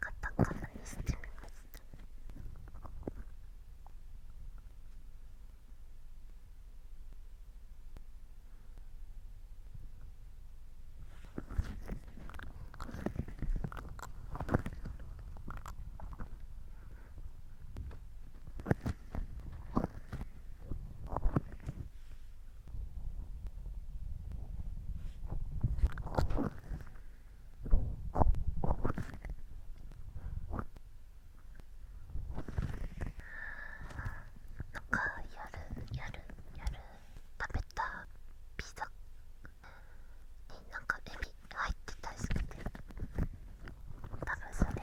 カタカナにしてみましたこん。なんかやるやるやる食べたピザになんかエビ入ってたりして多分それ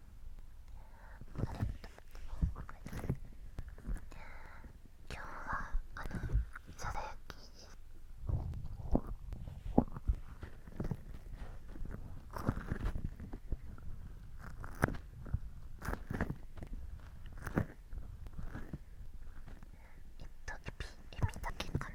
今日はあのそき。えっとエビエビだけかな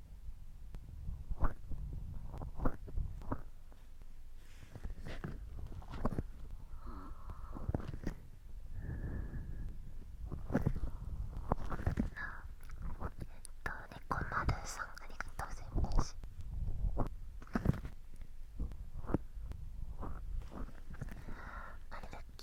こまるさんありがとうございますあれだっけ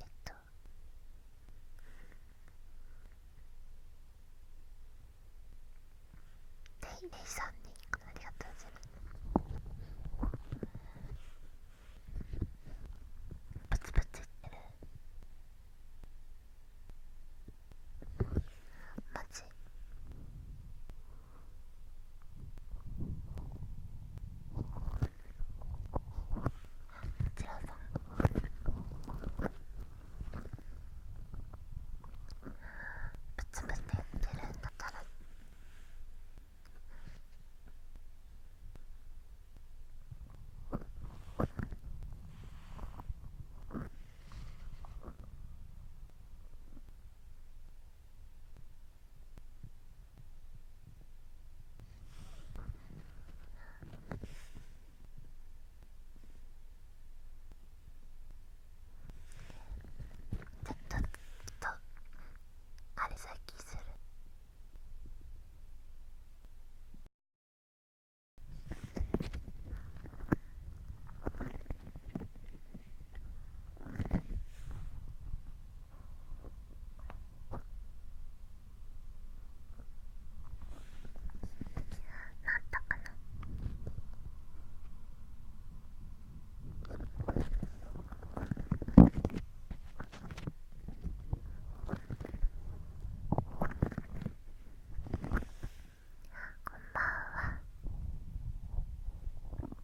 えっとレイレイさんにありがとうございますブツブツ言ってるマジちらさんぶつぶつ言ってるんだからちょっとあれさっきする。ったかなこんばんは。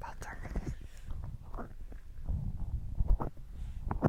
大丈夫です。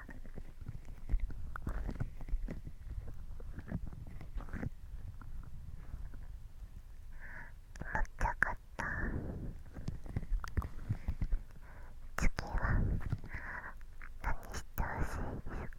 っちゃかった次は何してほしいですか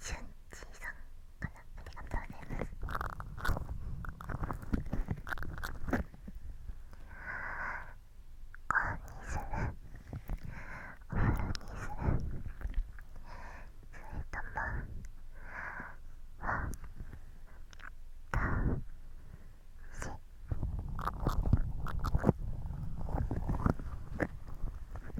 しゅんちーさんかなありがとうございます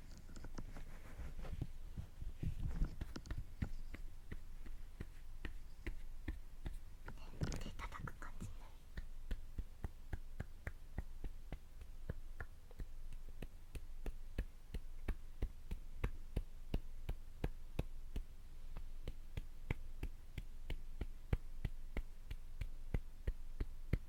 いただく感じね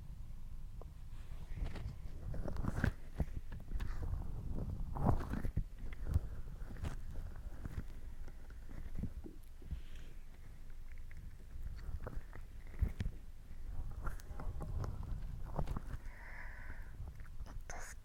すきすき。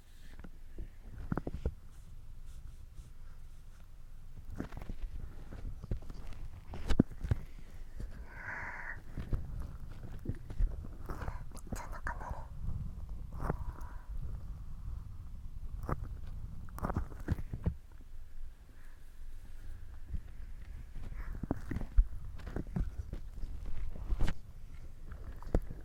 みんな仲間に。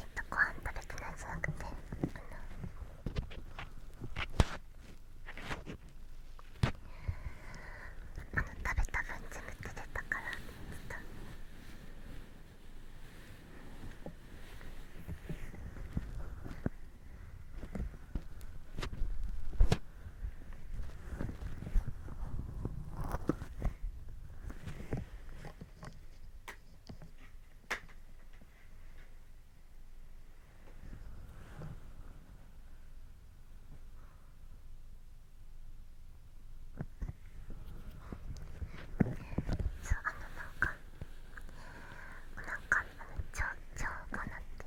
えっとご飯食べてないじゃなくてあの食べた分全部出れたからちょっと。そうあのなんかなんかあのちょうちょうかなって。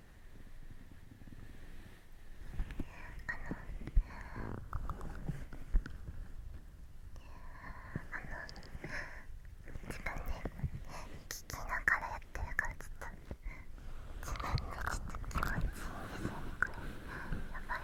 ああの。の。自分で。聞きながらやってるからちょっと自分でちょっと気持ちいいですよこれやばい。あの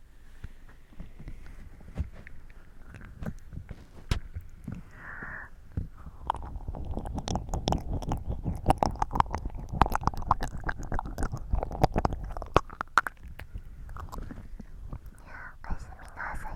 すみなさい。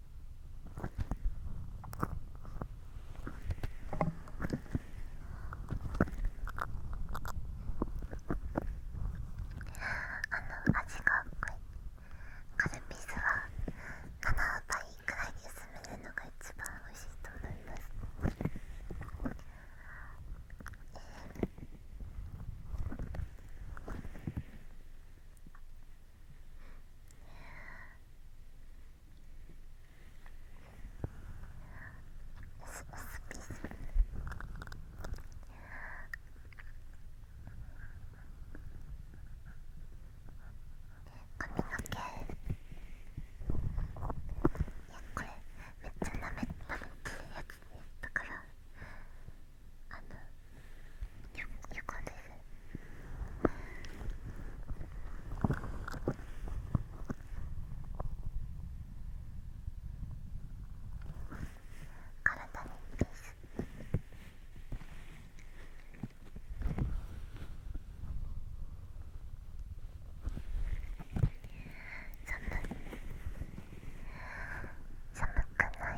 あの味が濃いカルピスは7倍くらいに薄めるのが一番美味しいと思います、髪の毛。これめっちゃなめなめってるやつねだからあの。よよかです体にいいです寒寒くない。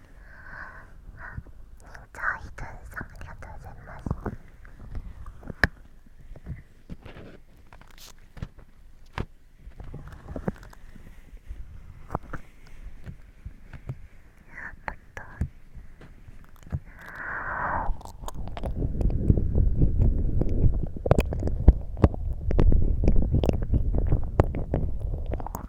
じゃあひとりさんありがとうございますあ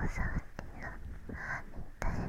こ触っていいの痛いあ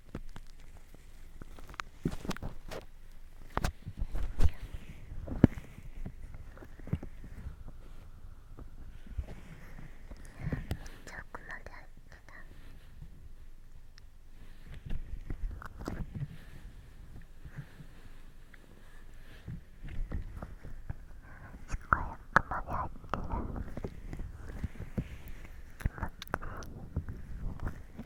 遠くまで歩けた。すごい奥まで入ってる気持ちいい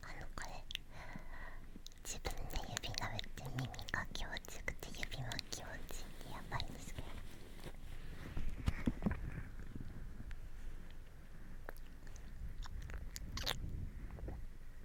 あのこれ自分で指舐めて耳が気持ちよくて指も気持ちいいてやばいんですけど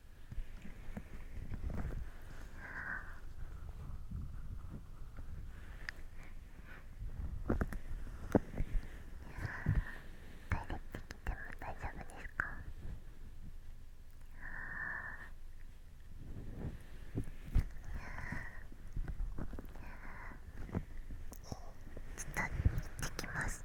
大丈夫ですかちょっと行ってきます。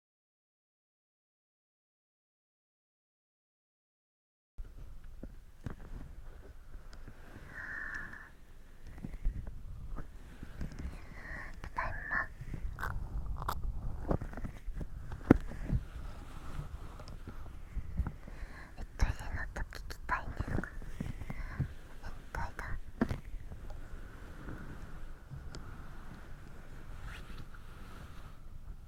ただいま。えっといのと、聞きたいね。ですえっといだえっと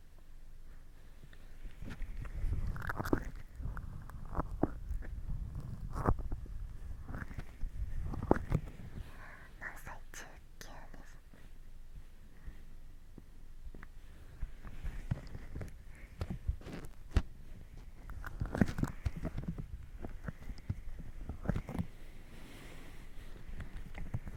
歳中級です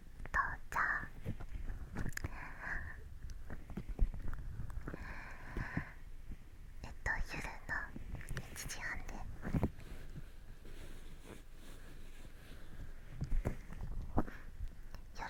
父ちゃんえっと夜の1時半で夜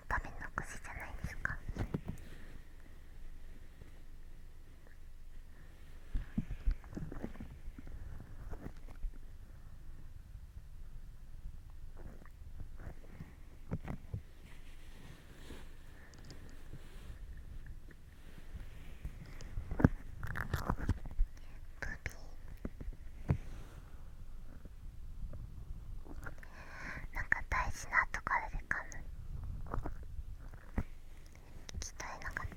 のためのくじじゃないですかブビなんか大事なところで噛む聞き取れなかった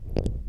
耳の目の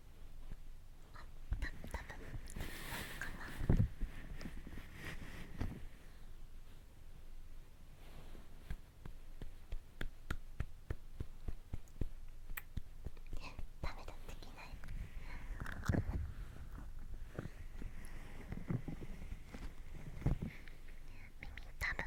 あた多分かなえダメだできない耳たぶ耳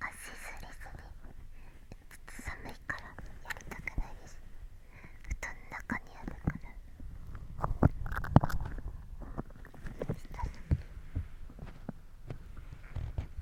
足すりすりちょ寒いからやりたくないです布団の中にあるから下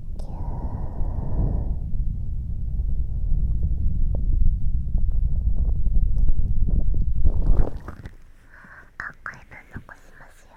あこれ分残しますよ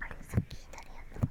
あれさっき左やったもん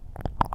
おいて。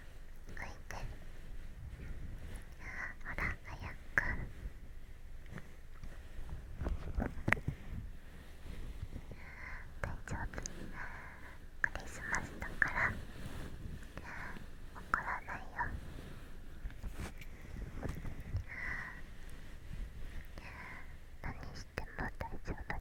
浮いてほら早く大丈夫クリスマスだから怒らないよ何しても大丈夫だよ。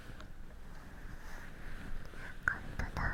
本当だ。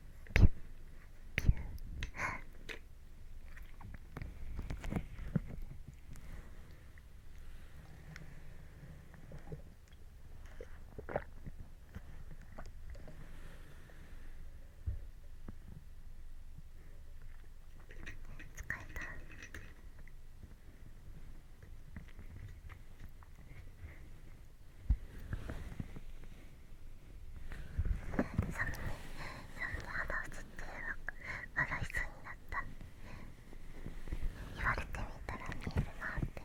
ピュッピュッ疲れた。サムにサムに肌落ちっていうのが悪い人になった言われてみたら見えるなって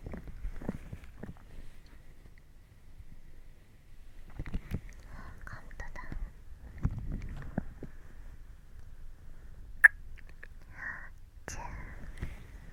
カウントダウン十三二一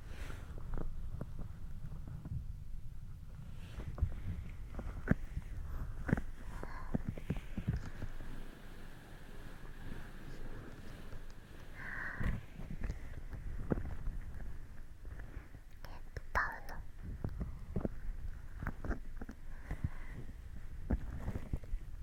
パウの。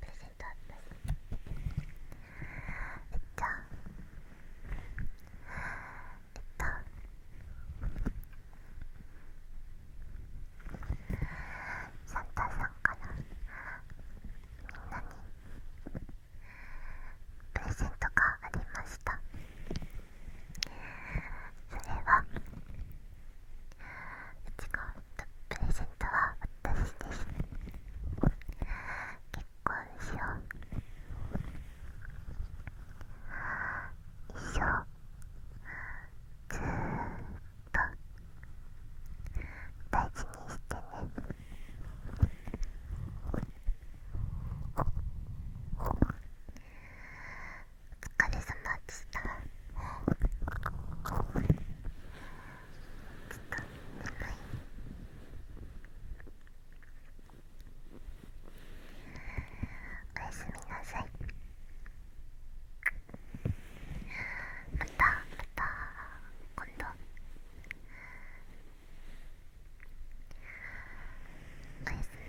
プレゼントえっとえっとサンタさんからみんなにプレゼントがありましたそれはうプレゼントは私です結婚しよう一生ずーっと大事にしてねお疲れ様でした。ちょっと、眠い。おやすみなさいまたまた今度おやすみ